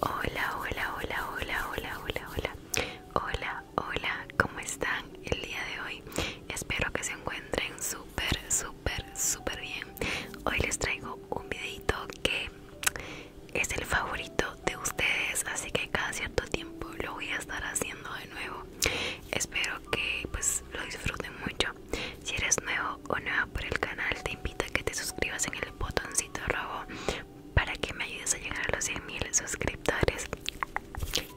Hola, hola, hola, hola, hola, hola, hola. Hola, hola, ¿cómo están el día de hoy? Espero que se encuentren súper, súper, súper bien. Hoy les traigo un videito que es el favorito de ustedes, así que cada cierto tiempo lo voy a estar haciendo de nuevo. Espero que pues lo disfruten mucho. Si eres nuevo o nueva por el canal, te invito a que te suscribas en el botoncito rojo para que me ayudes a llegar a los 100.000 suscriptores.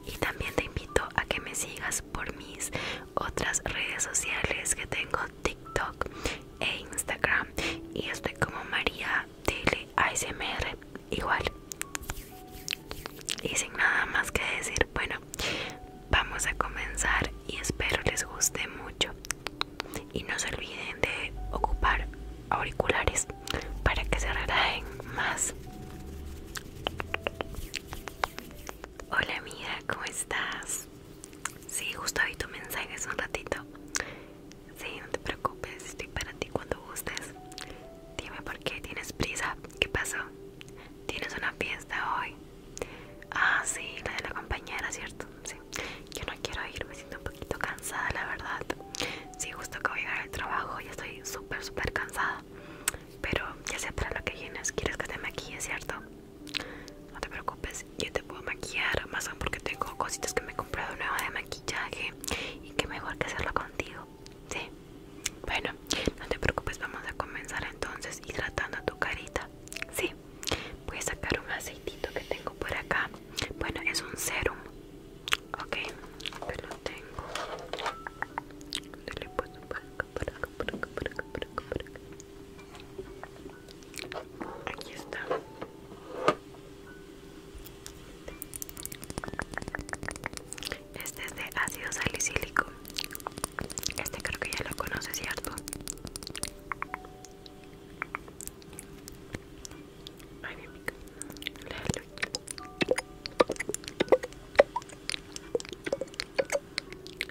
Y también te invito a que me sigas por mis otras redes sociales que tengo TikTok e Instagram. Y estoy como María Tele ASMR igual. Y sin nada más que decir, bueno, vamos a comenzar y espero les guste mucho y no se olviden de ocupar auriculares para que se relajen más hola amiga cómo estás Sí, tu mensaje hace un ratito Sí, no te preocupes estoy para ti cuando gustes Dime por qué tienes prisa ¿Qué pasó? ¿Tienes una fiesta hoy? Ah, sí, la de la compañera, ¿cierto? Sí. Yo no quiero irme, me siento un poquito cansada, la verdad. Sí, justo que voy a llegar al trabajo, ya estoy súper, súper cansada. Pero ya sé para lo que vienes, quieres que te maquille, ¿cierto? No te preocupes, yo te puedo maquillar, más aún porque tengo cositas que me he comprado nuevas de maquillaje y que mejor que hacerlo contigo, ¿sí? Bueno, no te preocupes, vamos a comenzar entonces hidratando tu carita, ¿sí? voy a sacar un aceitito que tengo por acá bueno es un serum ok que lo tengo le puedo para acá para acá para acá por acá acá, acá. aquí está este es de ácido salicílico este creo que ya lo conoces, ¿cierto?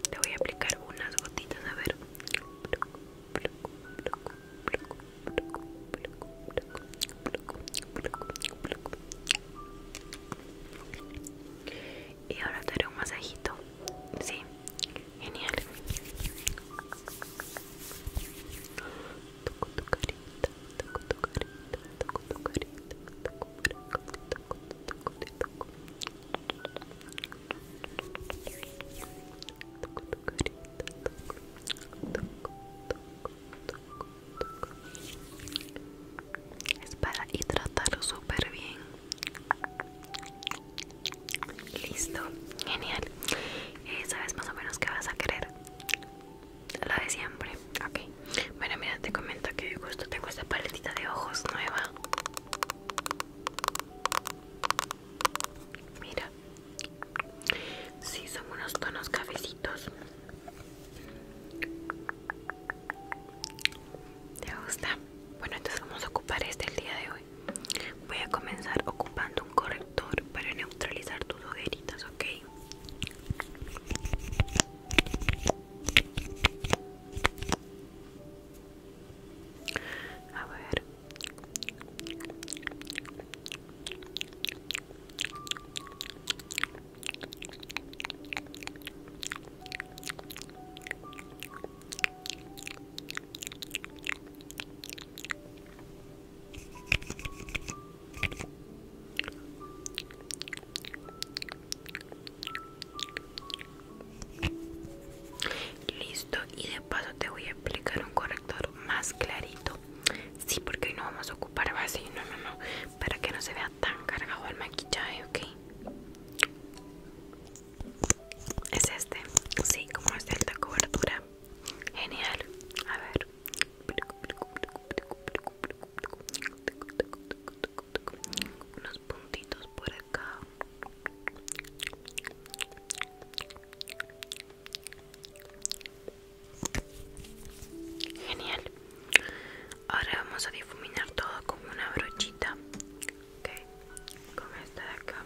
Te voy a aplicar unas gotitas, a ver y ahora te haré un masajito. Sí, genial es para hidratarlo súper bien listo genial eh, sabes más o menos qué vas a querer la de siempre ok bueno mira te comento que justo tengo esta paletita de ojos nueva mira si sí, son unos tonos cafecitos ¿Te gusta? Bueno, entonces vamos a ocupar este el día de hoy. Voy a comenzar ocupando un corrector para neutralizar tus ojeritas, ¿ok? A ver. Listo, y de paso te voy a aplicar un corrector más clarito. Sí, porque no vamos a ocupar base, no, no, no, para que no se vea tan cargado el maquillaje, ok. Es este, sí, como es de cobertura. Genial, a ver. Unos puntitos por acá. Genial ahora vamos a difuminar todo con una brochita ok con esta de acá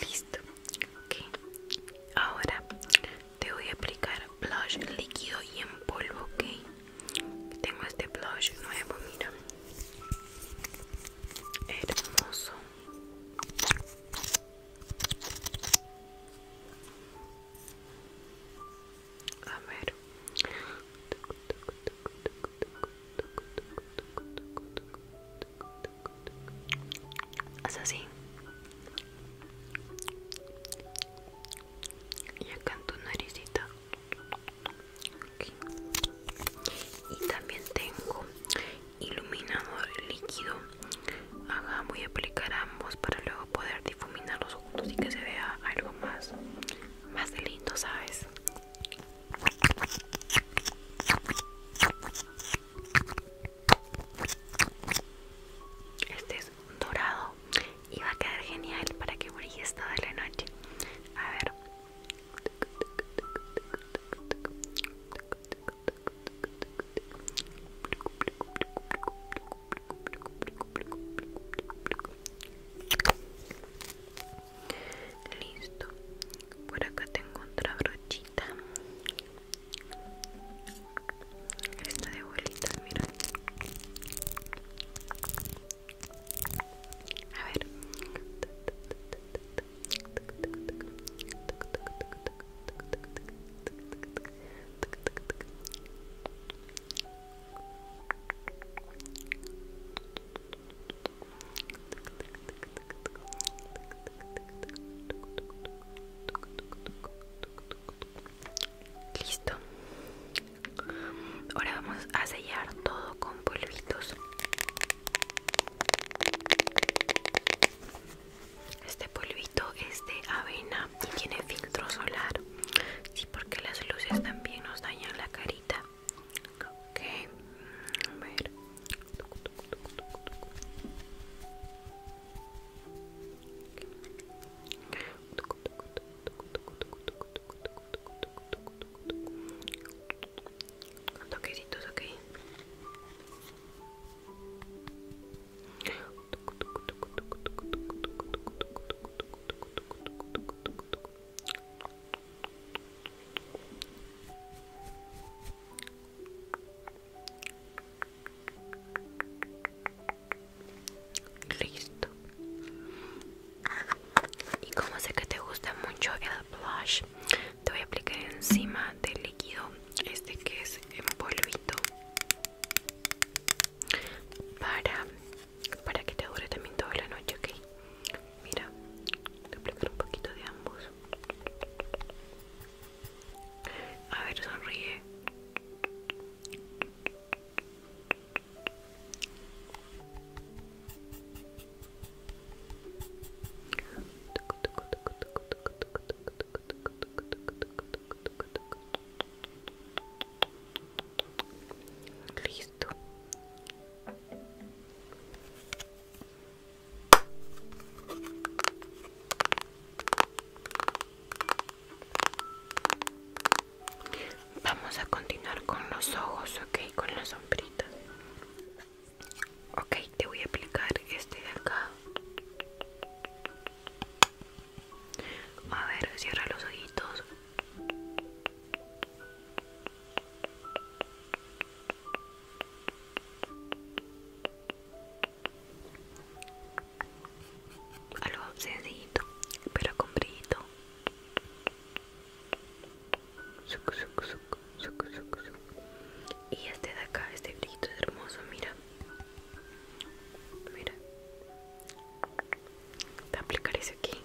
Listo. Okay. Ahora te voy a aplicar blush líquido y en polvo, ¿ok? Tengo este blush nuevo, mira. Hermoso. A ver. así. Y acá en tu naricita. Y también tengo iluminador líquido. Ajá, voy a aplicar ambos para luego poder difuminar los ojos y que se vea algo más más de lindo, ¿sabes? Este es dorado y va a quedar genial para que brille toda la noche. A ver. Listo. Por acá tengo otra brochita. Esta de bolitas, mira. A ver. Listo. Ahora vamos a sellar todo con polvitos. Este polvito es de avena tiene filtro solar sí porque las luces también nos dañan la carita Listo. Y como sé que te gusta mucho el blush, te voy a aplicar encima del líquido este que es en polvito para, para que te dure también toda la noche, ok. Mira, a aplicar un poquito de ambos. A ver, sonríe. Listo. Vamos a continuar con los ojos, ok, con las sombritas. Ok, te voy a aplicar este de acá. A ver, cierra los ojitos. Algo sencillito, pero con brillito. Y este de acá, este brillito es hermoso, mira. Mira, te aplicaré ese aquí.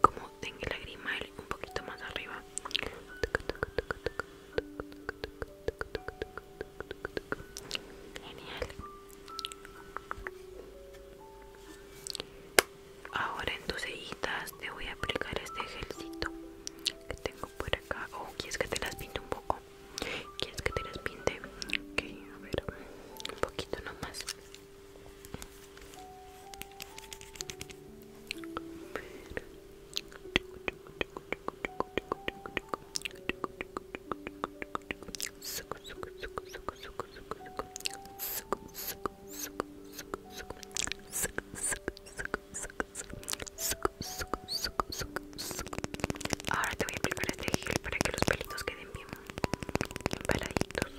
Como en el lagrimal, un poquito más arriba. Genial. Ahora en tus cejitas te voy a aplicar este gelcito que tengo por acá. Oh, ¿quieres que te las pinte un poco? ¿Quieres que te las pinte? a ver, un poquito nomás. Ahora te voy a aplicar este gel para que los pelitos queden bien peladitos.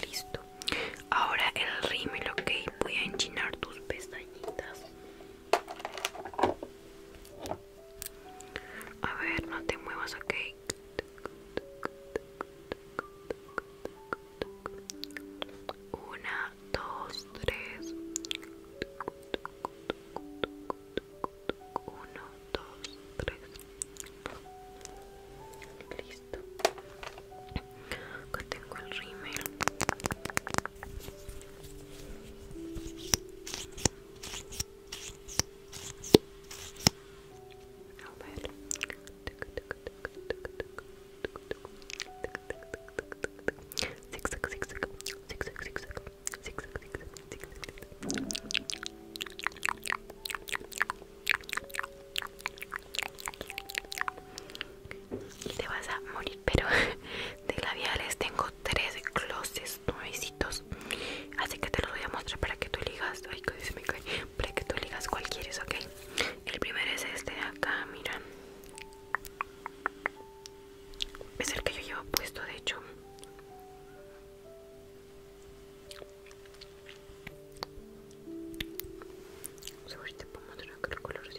Listo. Ahora el rímel, ok. Voy a enchinar tus pestañitas. A ver, no te muevas, ok. Una, dos, tres. Uno, dos, tres. Listo. Acá tengo el rímel. A Y te vas a morir pero de labiales tengo tres glosses nuevecitos así que te los voy a mostrar para que tú eligas ay que se me cae para que tú eligas cual quieres ok el primero es este de acá mira es el que yo llevo puesto de hecho Vamos a ver si te puedo mostrar el color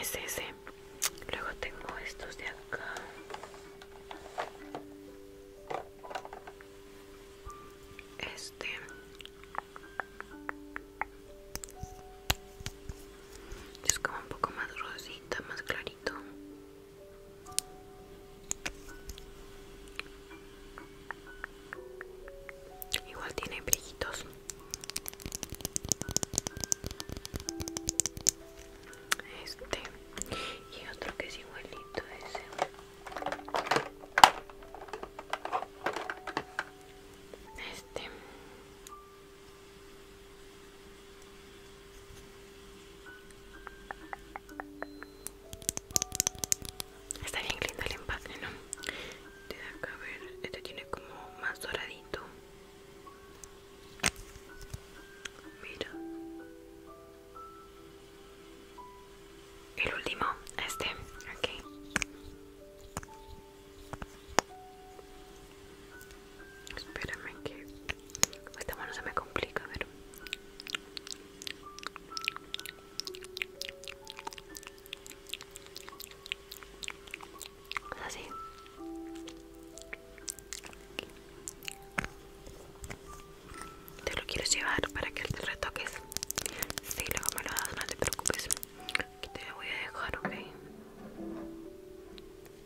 es ese. Luego tengo estos de acá. Este. Es como un poco más rosita, más clarito. Igual tiene brillitos. Este y otro que es igualito Este Está bien lindo el empaque, ¿no? Te da a ver, este tiene como más doradito. Mira. El último, este, ok. Espérame que esta mano se me complica, pero pues así. Te lo quiero llevar para que te retoques. Sí, luego me lo das, no te preocupes. Aquí te lo voy a dejar, ok. Genial.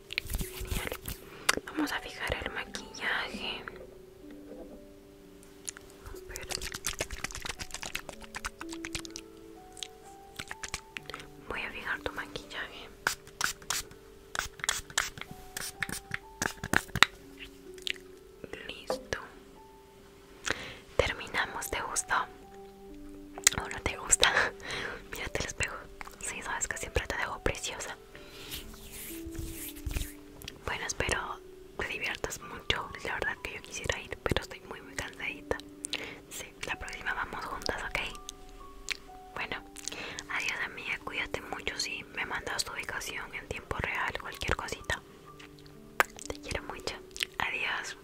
Vamos a fijar el maquillaje. Voy a fijar tu maquillaje. Listo. Terminamos, ¿te gustó? ¿O no te gusta? Mírate el espejo. Sí, sabes que siempre te dejo preciosa. Bueno, espero te diviertas mucho. La verdad que yo quisiera ir, pero estoy muy, muy cansadita. Sí, la próxima vamos juntas, ¿ok? Bueno, adiós amiga, cuídate mucho. Si sí, me mandas tu ubicación en tiempo real, cualquier cosita. Te quiero mucho. Adiós.